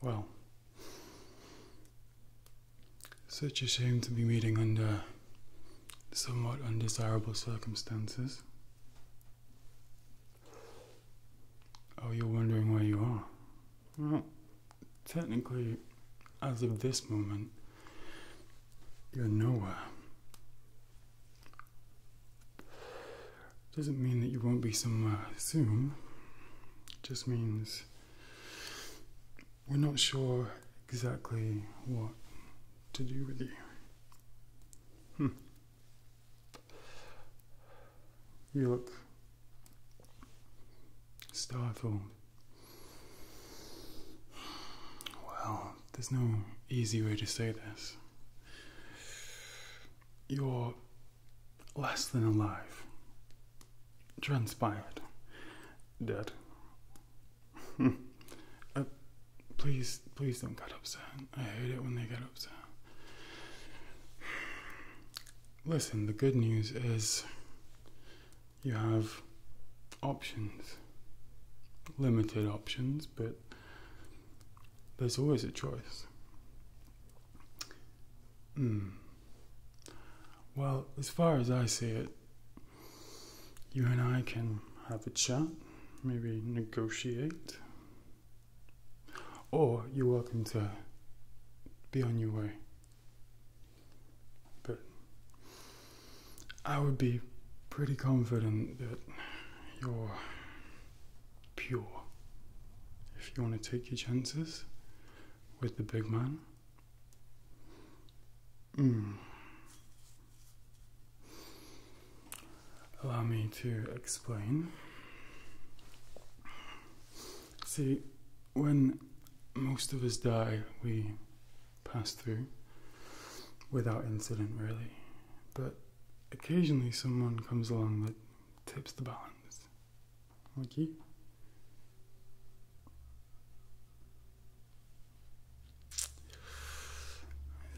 Well, such a shame to be meeting under somewhat undesirable circumstances. Oh, you're wondering where you are? Well, technically, as of this moment, you're nowhere. Doesn't mean that you won't be somewhere soon. It just means we're not sure exactly what to do with you. Hmm. You look startled. Well, there's no easy way to say this you're less than alive, transpired, dead. Uh, please, please don't get upset. I hate it when they get upset. Listen, the good news is you have options, limited options, but there's always a choice. Hmm. Well, as far as I see it, you and I can have a chat, maybe negotiate, or you're welcome to be on your way. But I would be pretty confident that you're pure. If you want to take your chances with the big man, hmm. allow me to explain. See, when most of us die, we pass through without incident, really. But occasionally someone comes along that tips the balance. Like you.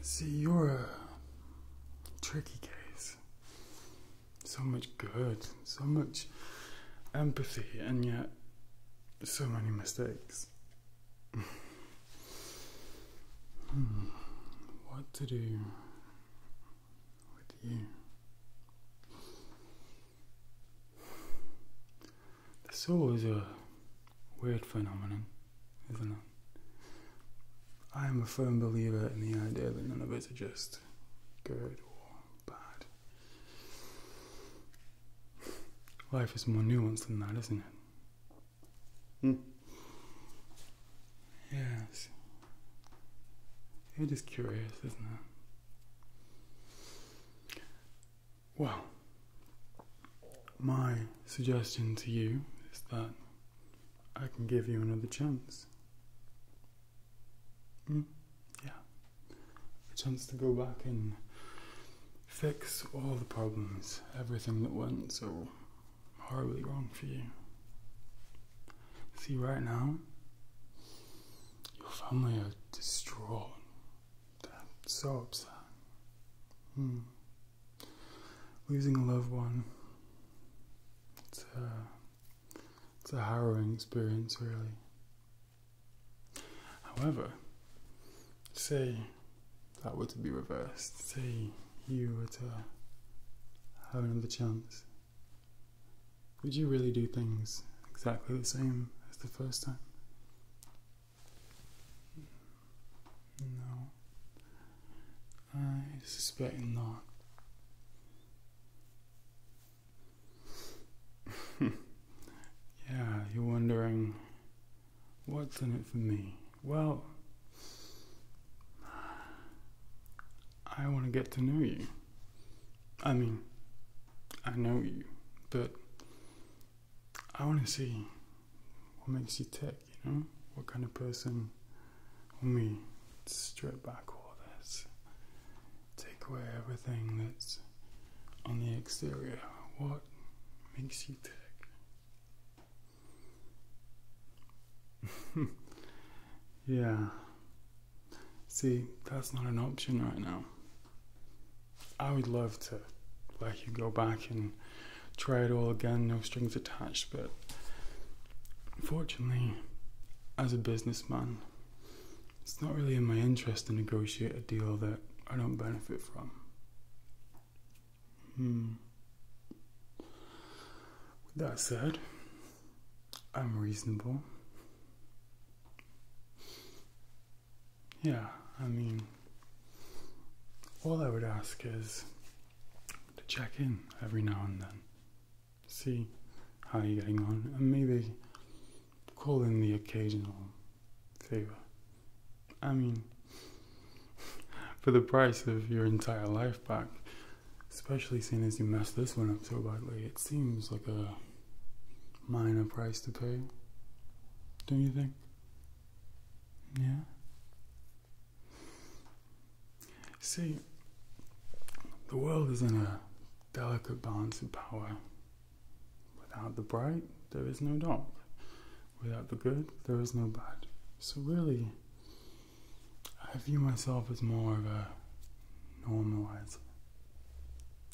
See, you're a tricky case. So much good, so much empathy, and yet so many mistakes. Hmm, what to do with you? The soul is a weird phenomenon, isn't it? I am a firm believer in the idea that none of us are just good or bad. Life is more nuanced than that, isn't it? Hmm. Yes. It is curious, isn't it? Well, my suggestion to you is that I can give you another chance. Mm, yeah. A chance to go back and fix all the problems, everything that went so horribly wrong for you. See, right now, your family are distraught. they so upset. Hmm. Losing a loved one. It's a, it's a harrowing experience, really. However, say that were to be reversed, say you were to have another chance, would you really do things exactly the same as the first time? No. I suspect not. yeah, you're wondering What's in it for me? Well, I want to get to know you. I mean, I know you, but I want to see what makes you tick, you know? What kind of person, Let me strip back all this, take away everything that's on the exterior, what makes you tick? yeah. See, that's not an option right now. I would love to let you go back and try it all again, no strings attached, but unfortunately, as a businessman, it's not really in my interest to negotiate a deal that I don't benefit from. Hmm. With that said, I'm reasonable. Yeah, I mean, all I would ask is to check in every now and then, see how you're getting on, and maybe call in the occasional favor I mean, for the price of your entire life back, especially seeing as you messed this one up so badly, it seems like a minor price to pay. Don't you think? Yeah? See, the world is in a delicate balance of power. Without the bright, there is no dark. Without the good, there is no bad. So, really, I view myself as more of a normalizer,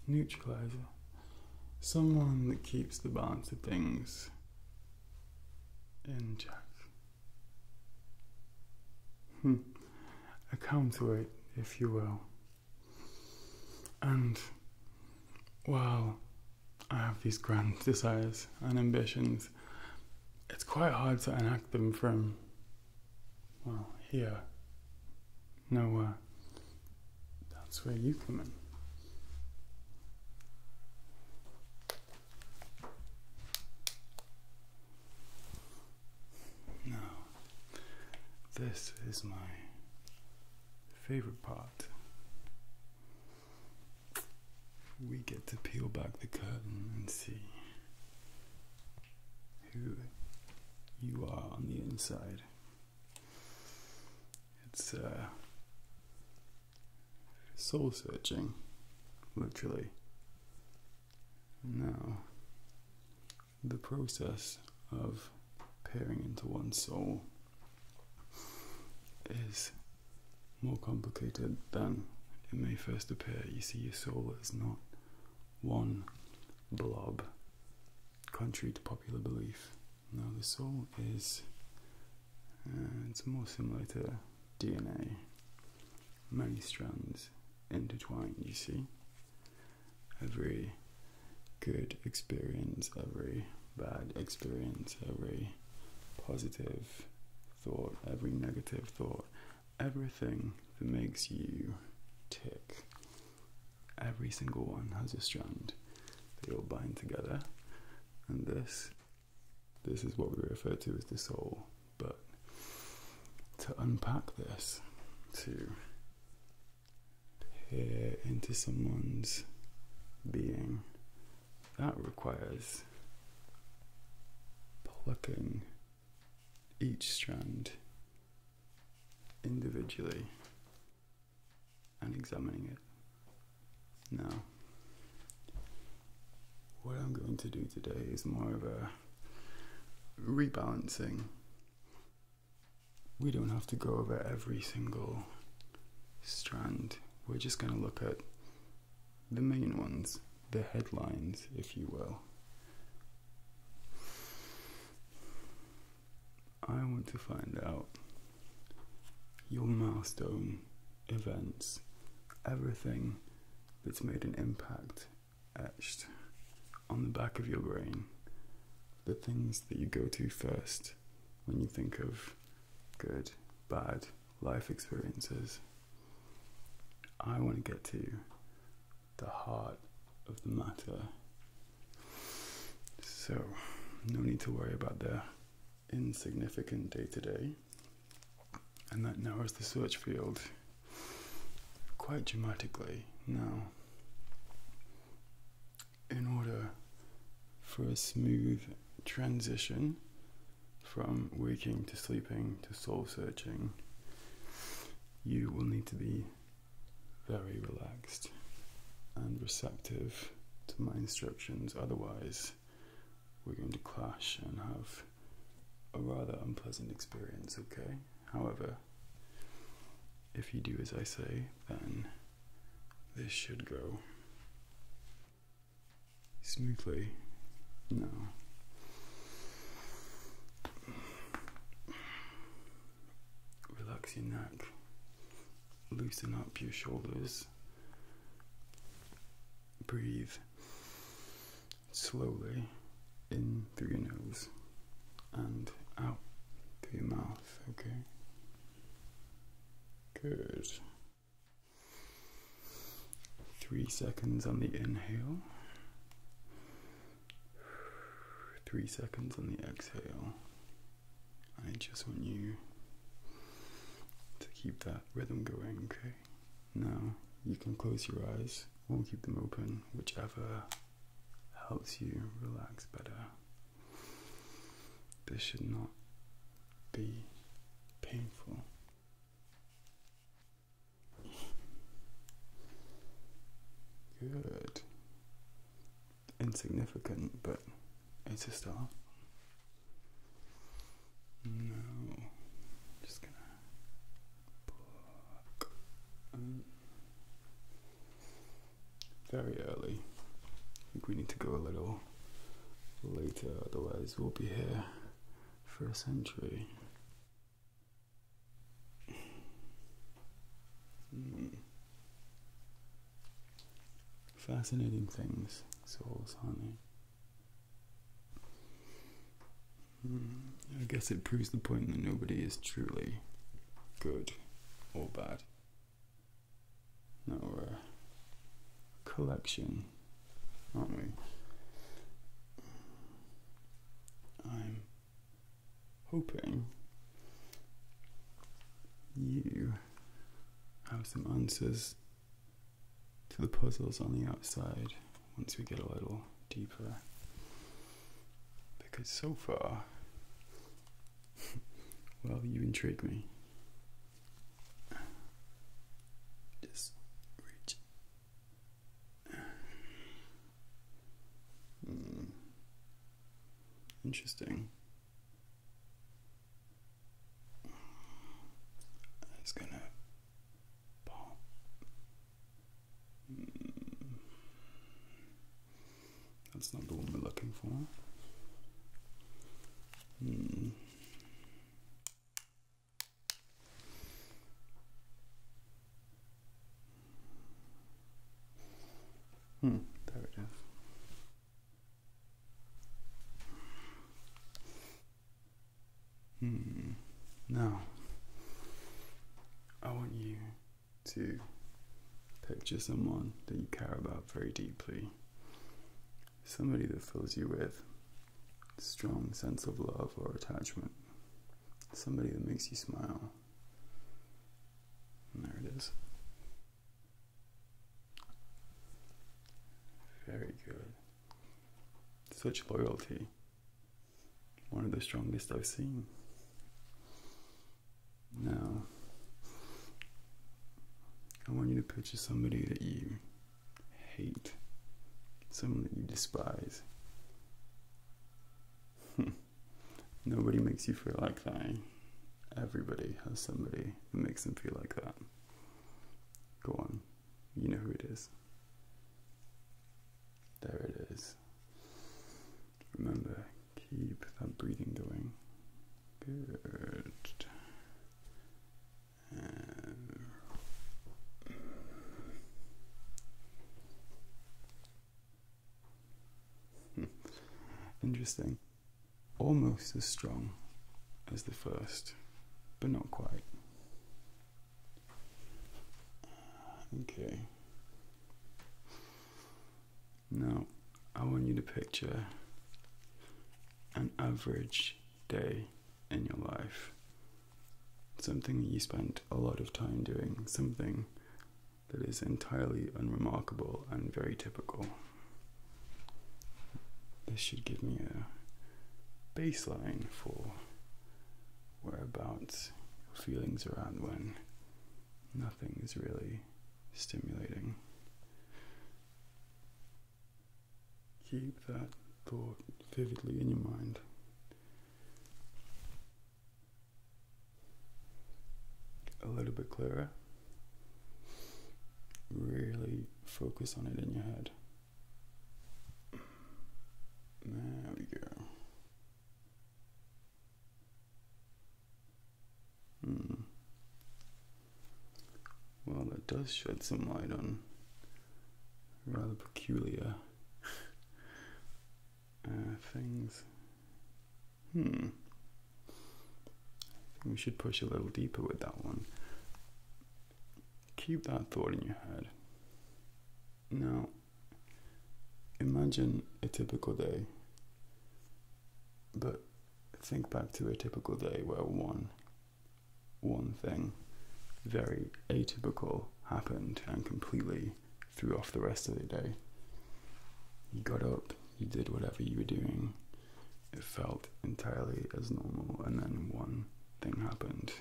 neutralizer, someone that keeps the balance of things in check. Hmm. A counterweight, if you will. And well. I have these grand desires and ambitions. It's quite hard to enact them from, well, here, nowhere. That's where you come in. Now, this is my favorite part we get to peel back the curtain and see who you are on the inside. It's uh, soul searching, literally. Now, the process of peering into one's soul is more complicated than it may first appear. You see, your soul is not one blob, contrary to popular belief. No, the soul is, uh, it's more similar to DNA, many strands intertwined, you see. Every good experience, every bad experience, every positive thought, every negative thought, everything that makes you tick. Every single one has a strand. They all bind together. And this this is what we refer to as the soul. But to unpack this, to peer into someone's being, that requires plucking each strand individually and examining it. Now, what I'm going to do today is more of a rebalancing. We don't have to go over every single strand. We're just going to look at the main ones, the headlines, if you will. I want to find out your milestone events, everything that's made an impact etched on the back of your brain, the things that you go to first when you think of good, bad, life experiences. I want to get to the heart of the matter. So, no need to worry about the insignificant day to day. And that narrows the search field quite dramatically. Now, in order for a smooth transition from waking to sleeping to soul searching, you will need to be very relaxed and receptive to my instructions. Otherwise, we're going to clash and have a rather unpleasant experience, okay? However, if you do as I say, then this should go smoothly. No. Relax your neck, loosen up your shoulders, breathe slowly in through your nose and out through your mouth, okay? Good. Three seconds on the inhale, three seconds on the exhale. I just want you to keep that rhythm going, okay? Now you can close your eyes or keep them open, whichever helps you relax better. This should not be painful. Good. Insignificant, but it's a start. Uh, no, just gonna um, very early. I think we need to go a little later, otherwise, we'll be here for a century. Hmm. Fascinating things, souls, honey. Hmm, I guess it proves the point that nobody is truly good or bad. Our collection, aren't we? I'm hoping you have some answers to the puzzles on the outside once we get a little deeper. Because so far, well, you intrigue me. Just reach. Mm. Interesting. It's gonna pop. Hmm. That's not the one we're looking for. Mm. Hmm, there it is. Hmm. Now, I want you to picture someone that you care about very deeply somebody that fills you with strong sense of love or attachment somebody that makes you smile there it is very good such loyalty one of the strongest i've seen now i want you to picture somebody that you hate, someone that you despise. Hmm. Nobody makes you feel like that. Everybody has somebody that makes them feel like that. Go on, you know who it is. There it is. Remember, keep that breathing going. Good. Hmm. Interesting. Almost as strong as the first, but not quite. Okay. Now, I want you to picture an average day in your life. Something you spent a lot of time doing, something that is entirely unremarkable and very typical. This should give me a baseline for whereabouts feelings are at when nothing is really stimulating. Keep that thought vividly in your mind. A little bit clearer. Really focus on it in your head. There we go. Mm. Well, that does shed some light on rather peculiar uh, things. Hmm. we should push a little deeper with that one. Keep that thought in your head. Now, imagine a typical day, but think back to a typical day where one, one thing very atypical happened and completely threw off the rest of the day. You got up, you did whatever you were doing, it felt entirely as normal, and then one thing happened.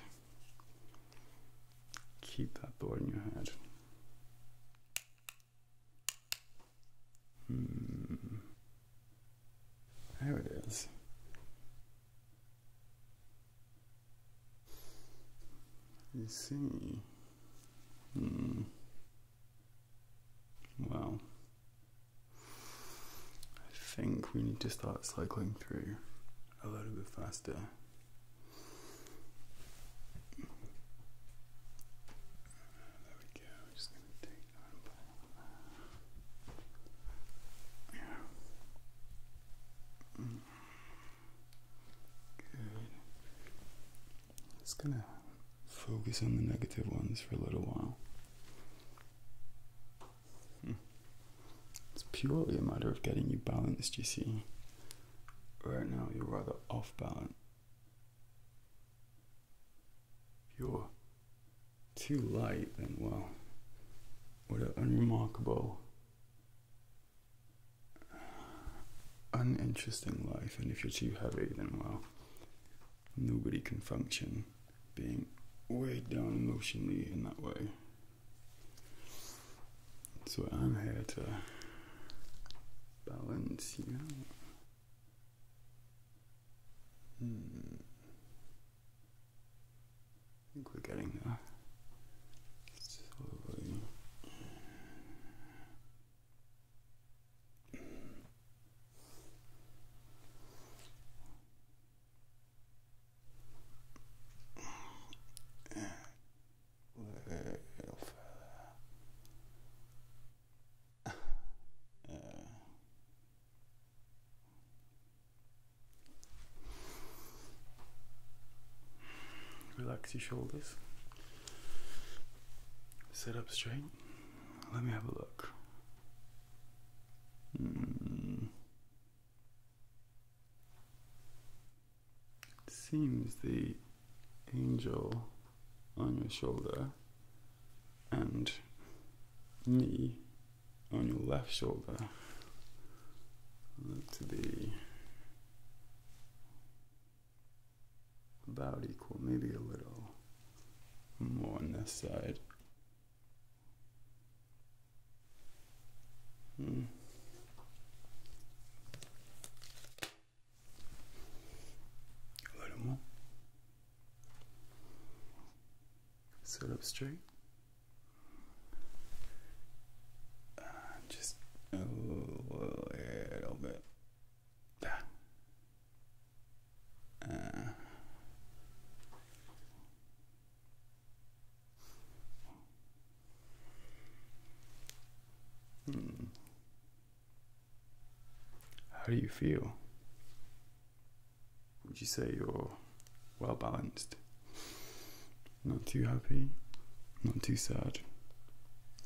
Keep that thought in your head. Hmm. There it is. You see. Hmm. Well, I think we need to start cycling through a little bit faster. There we go going to take Yeah. Good. Just gonna focus on the negative ones for a little while. It's purely a matter of getting you balanced, you see. Right now, you're rather off balance. Pure too light, then well, what an unremarkable, uninteresting life. And if you're too heavy, then well, nobody can function being weighed down emotionally in that way. So I'm here to balance you out. Hmm. I think we're getting there. Slowly. Relax your shoulders. Sit up straight. Let me have a look. Hmm. It seems the angel on your shoulder and knee on your left shoulder. to be about equal, maybe a little more on this side. Hmm. A little more solo up straight. Uh, just a little bit back ah. uh, hmm. How do you feel? would you say you're well balanced? Not too happy, not too sad,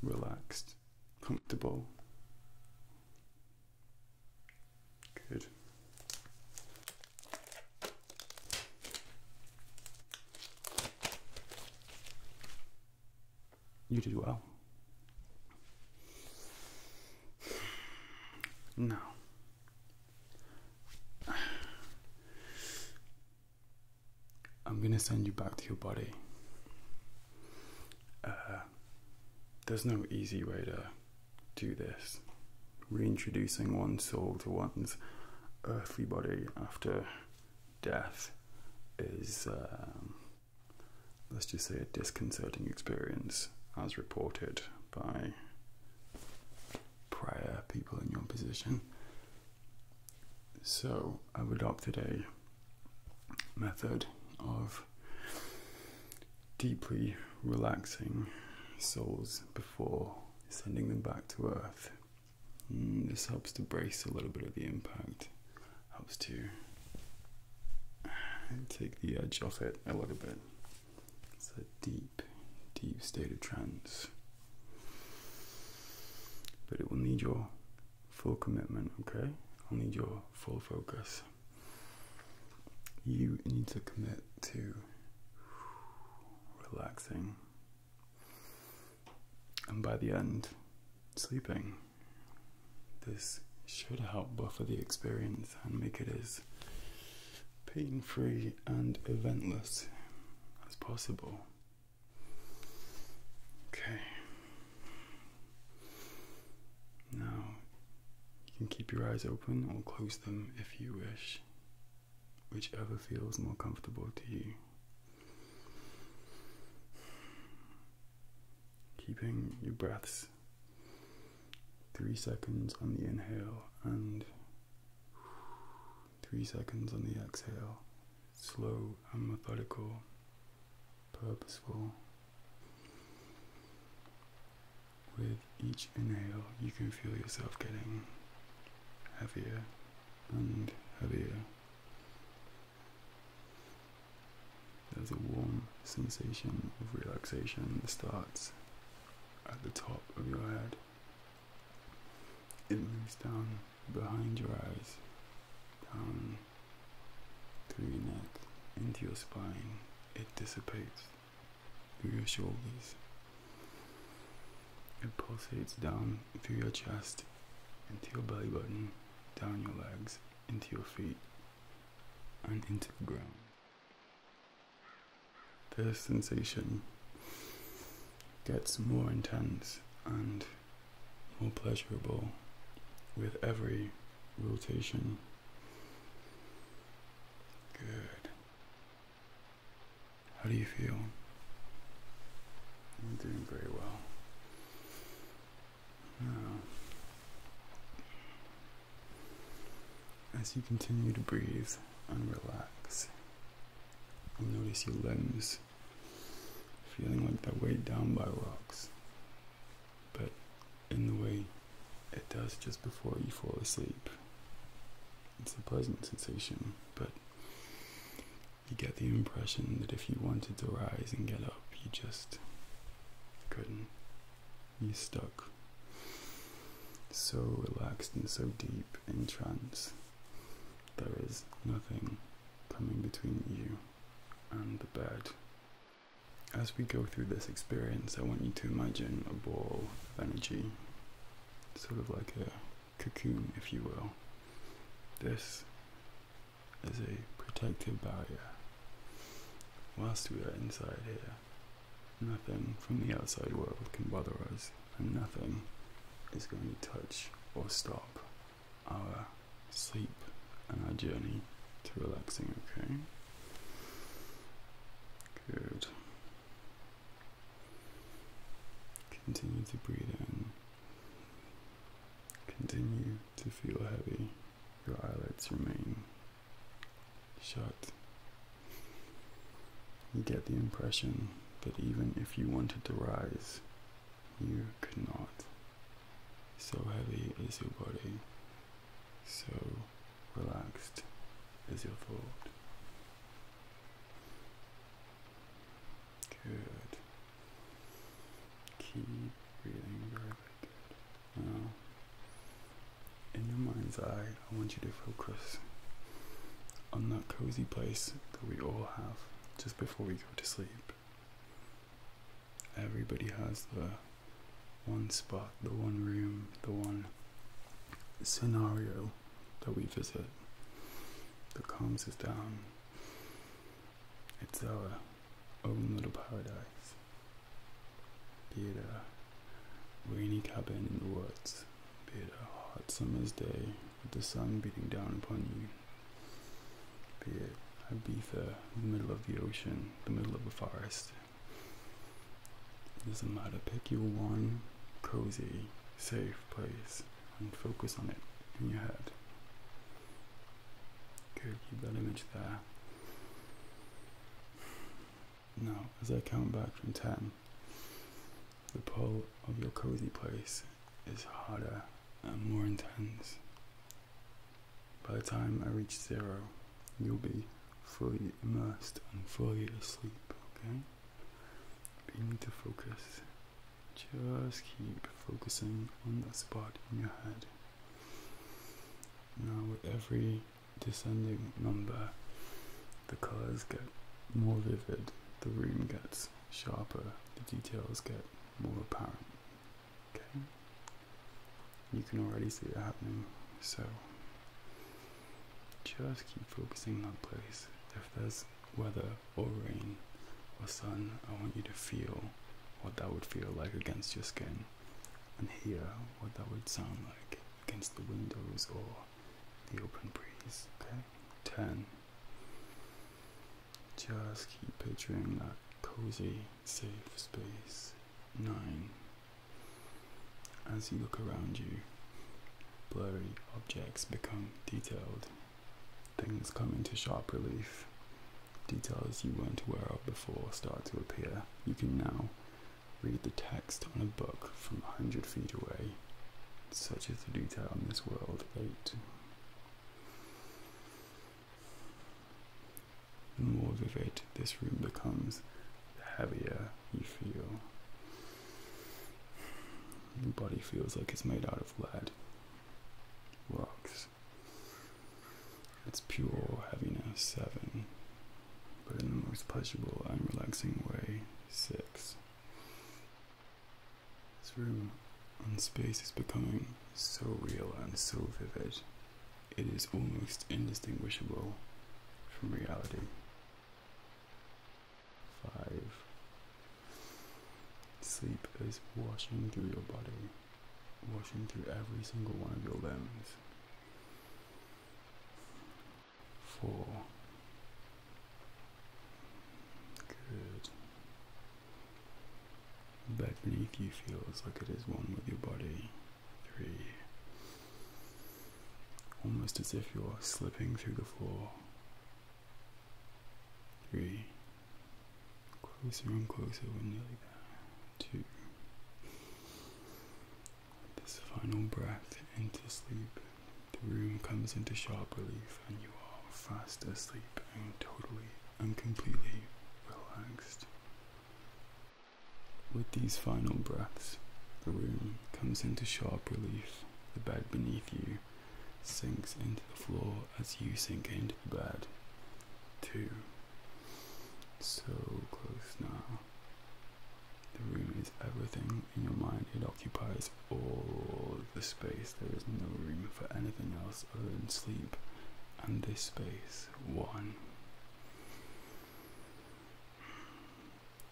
relaxed, comfortable. Good. You did well. No. I'm gonna send you back to your body. Uh, there's no easy way to do this. Reintroducing one's soul to one's earthly body after death is, um, let's just say, a disconcerting experience, as reported by prior people in your position. So I've adopted a method of deeply relaxing souls before sending them back to earth. Mm, this helps to brace a little bit of the impact, helps to take the edge off it a little bit. It's a deep, deep state of trance. But it will need your full commitment, okay? I'll need your full focus. You need to commit to relaxing. And by the end, sleeping. This should help buffer the experience and make it as pain free and eventless as possible. Okay. Now you can keep your eyes open or close them if you wish, whichever feels more comfortable to you. Keeping your breaths three seconds on the inhale, and three seconds on the exhale. Slow and methodical, purposeful. With each inhale, you can feel yourself getting heavier and heavier. There's a warm sensation of relaxation starts at the top of your head. It moves down behind your eyes, down through your neck, into your spine. It dissipates through your shoulders. It pulsates down through your chest, into your belly button, down your legs, into your feet, and into the ground the sensation gets more intense and more pleasurable with every rotation. Good. How do you feel? You're doing very well. Now, as you continue to breathe and relax, you'll notice your limbs feeling like they're weighed down by rocks, but in the way it does just before you fall asleep. It's a pleasant sensation, but you get the impression that if you wanted to rise and get up, you just couldn't. You're stuck. So relaxed and so deep in trance, there is nothing coming between you and the bed. As we go through this experience, I want you to imagine a ball of energy, sort of like a cocoon, if you will. This is a protective barrier. Whilst we are inside here, Nothing from the outside world can bother us, and nothing is going to touch or stop our sleep and our journey to relaxing, okay? Good. Continue to breathe in. Continue to feel heavy. Your eyelids remain shut. You get the impression that even if you wanted to rise, you could not. So heavy is your body, so relaxed is your thought. Good. Keep breathing very, very good in your mind's eye, I want you to focus on that cozy place that we all have just before we go to sleep. Everybody has the one spot, the one room, the one scenario that we visit that calms us down. It's our own little paradise. Be it a rainy cabin in the woods, be it a hot summer's day with the sun beating down upon you, be it Ibiza in the middle of the ocean, the middle of a forest. There's a not matter, pick you one cozy, safe place and focus on it in your head. Good, keep that image there. Now, as I count back from 10, the pull of your cozy place is harder and more intense. By the time I reach zero, you'll be fully immersed and fully asleep, okay? But you need to focus. Just keep focusing on that spot in your head. Now, with every descending number, the colors get more vivid, the room gets sharper, the details get more apparent. Okay? You can already see it happening, so just keep focusing that place. If there's weather or rain or sun, I want you to feel what that would feel like against your skin and hear what that would sound like against the windows or the open breeze. Okay, 10. Just keep picturing that cozy, safe space. 9. As you look around you, blurry objects become detailed. Things come into sharp relief. Details you weren't aware of before start to appear. You can now Read the text on a book from a hundred feet away. Such is the detail in this world. 8. The more vivid this room becomes, the heavier you feel. Your body feels like it's made out of lead, rocks, its pure heaviness, 7. But in the most pleasurable and relaxing way, 6. This room and space is becoming so real and so vivid, it is almost indistinguishable from reality. 5. Sleep is washing through your body, washing through every single one of your limbs four. Good. Back beneath you feels like it is one with your body. Three. Almost as if you're slipping through the floor. Three. Closer and closer, we're nearly there. Two this final breath into sleep, the room comes into sharp relief, and you are fast asleep and totally and completely relaxed. With these final breaths, the room comes into sharp relief, the bed beneath you sinks into the floor as you sink into the bed. Two. So close now. The room is everything in your mind. It occupies all the space. There is no room for anything else other than sleep and this space. One.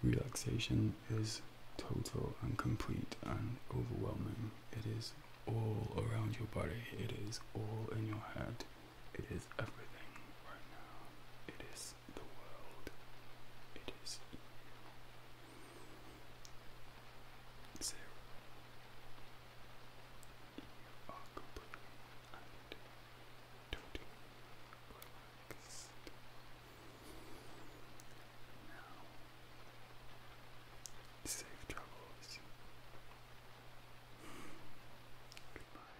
Relaxation is total and complete and overwhelming. It is all around your body, it is all in your head. It is everything right now. It is the world. It is Zero. You are completely and totally relaxed. Now, safe travels. Goodbye.